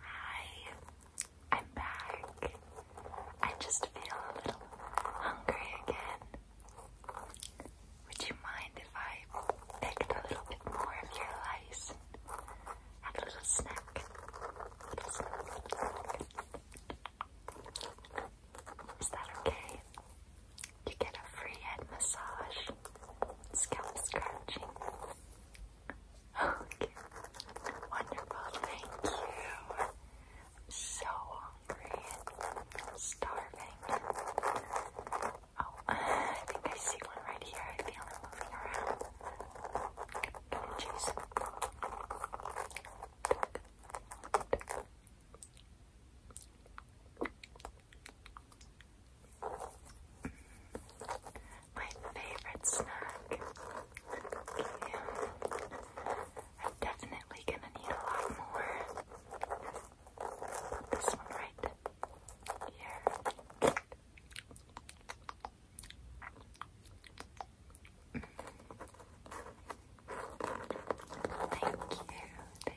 Hi, I'm back. I just feel a little hungry again. Would you mind if I picked a little bit more of your lice and had a little snack? Is that okay? You get a free head massage scalp scratching. Okay. Wonderful. Thank you. I'm so hungry starving. Oh, I think I see one right here. I feel it moving around. Can you choose? My favorite snack. Yeah. I'm definitely gonna need a lot more. this one right here. Thank you,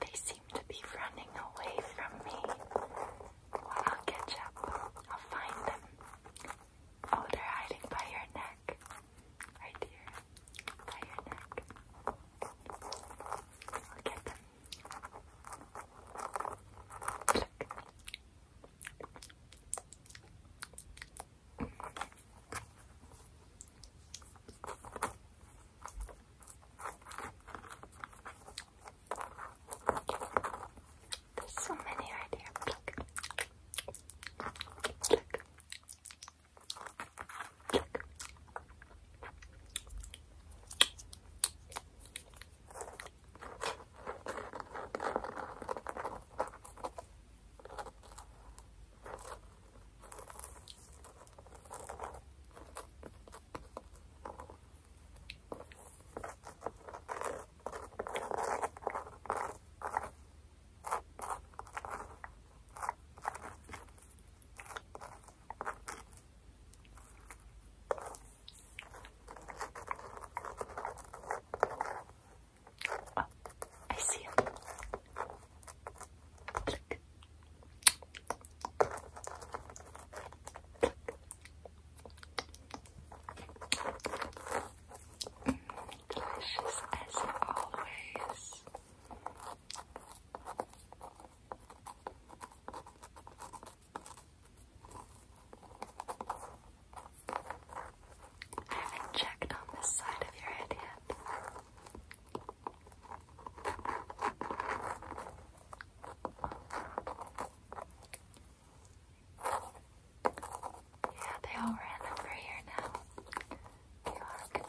They seem to be running away from me. I'll catch up. I'll find them. Oh, they're hiding by your neck. Right here. By your neck. I'll get them. Look. There's so many right here. Look. Look. Oh, I see it. Click. Delicious as always. I haven't checked on this side of your head yet. Yeah, they all ran over here now. You are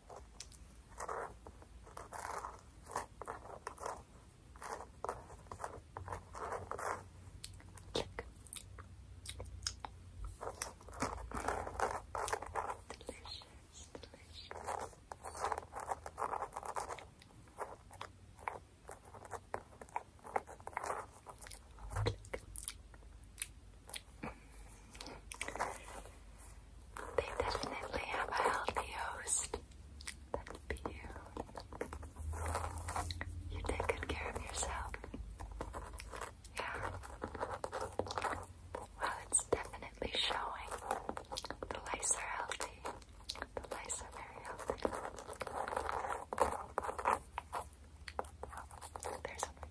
Check. Delicious, delicious. Click. They definitely have a healthy host. That'd be you. You take good care of yourself. Yeah. Well, it's definitely showing. The lice are healthy. The lice are very healthy. There's one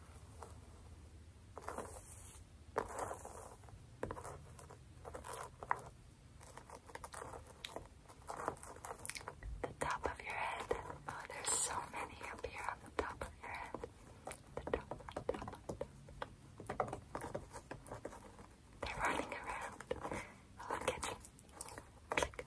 The top of your head. Oh, there's so many up here on the top of your head. The top, top, They're running around. Oh, look at them. click,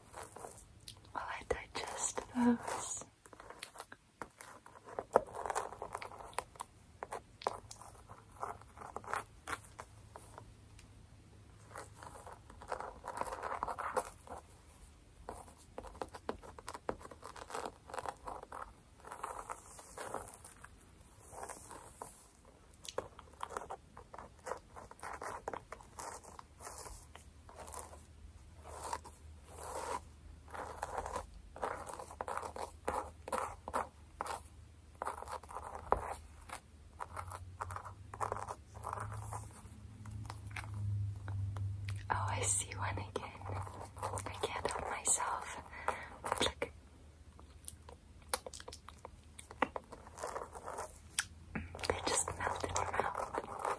While I digest those. Oh, I see one again. I can't help myself. Look. They just melt in your mouth.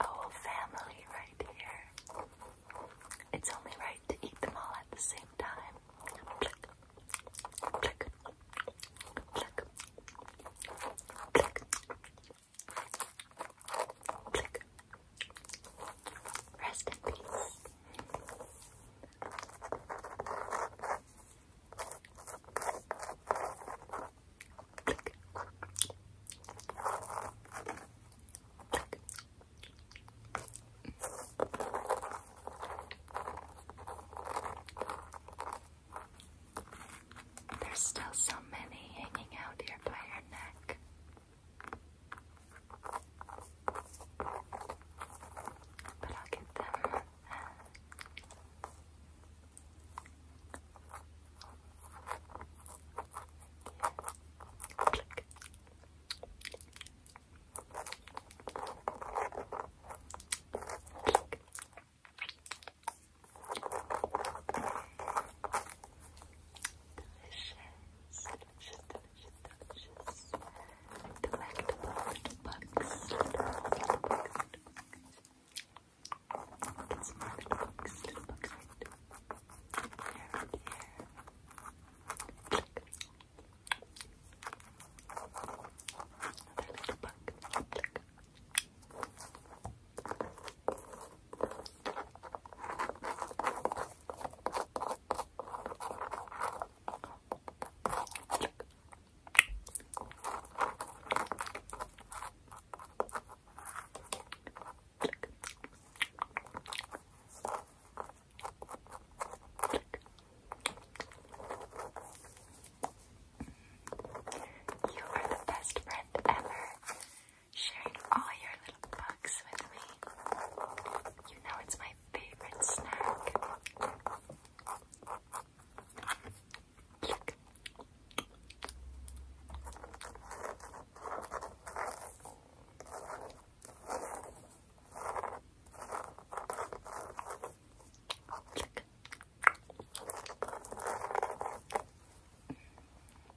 Oh, family right here. It's only right to eat them all at the same time. Rest in peace. There's still so many hanging out here by your neck. But I'll get them. delicious, delicious, delicious, delectable little bugs. Little bugs, little bugs. You can smell little bugs, little bugs right here, right here. Click. Another little bug. Click. You are the best friend ever sharing all your little bugs with me. You know it's my favorite snack.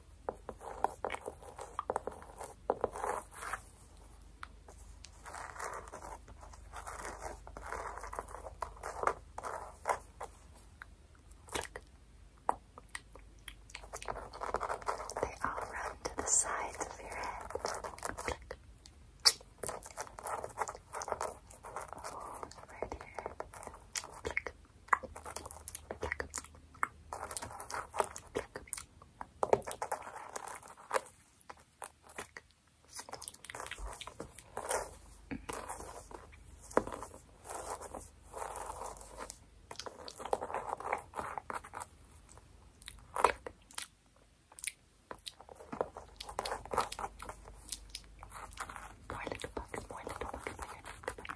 They all run to the sides of your head. right here. More little bugs, more little bugs by your neck, by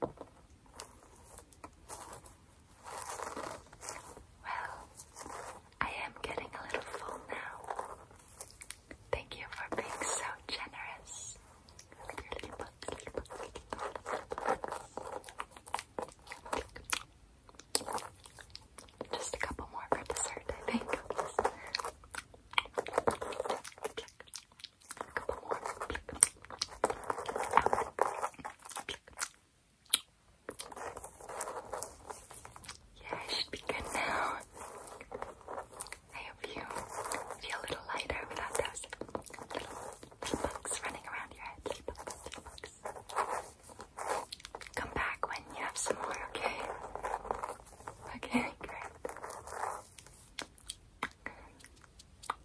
Well, I am getting a little full now. Thank you for being so generous. Just a couple more for dessert, I think. Yeah, it should be good now. I hope you feel a little lighter without those little, bugs running around your head. Come back when you have some more, okay? Okay,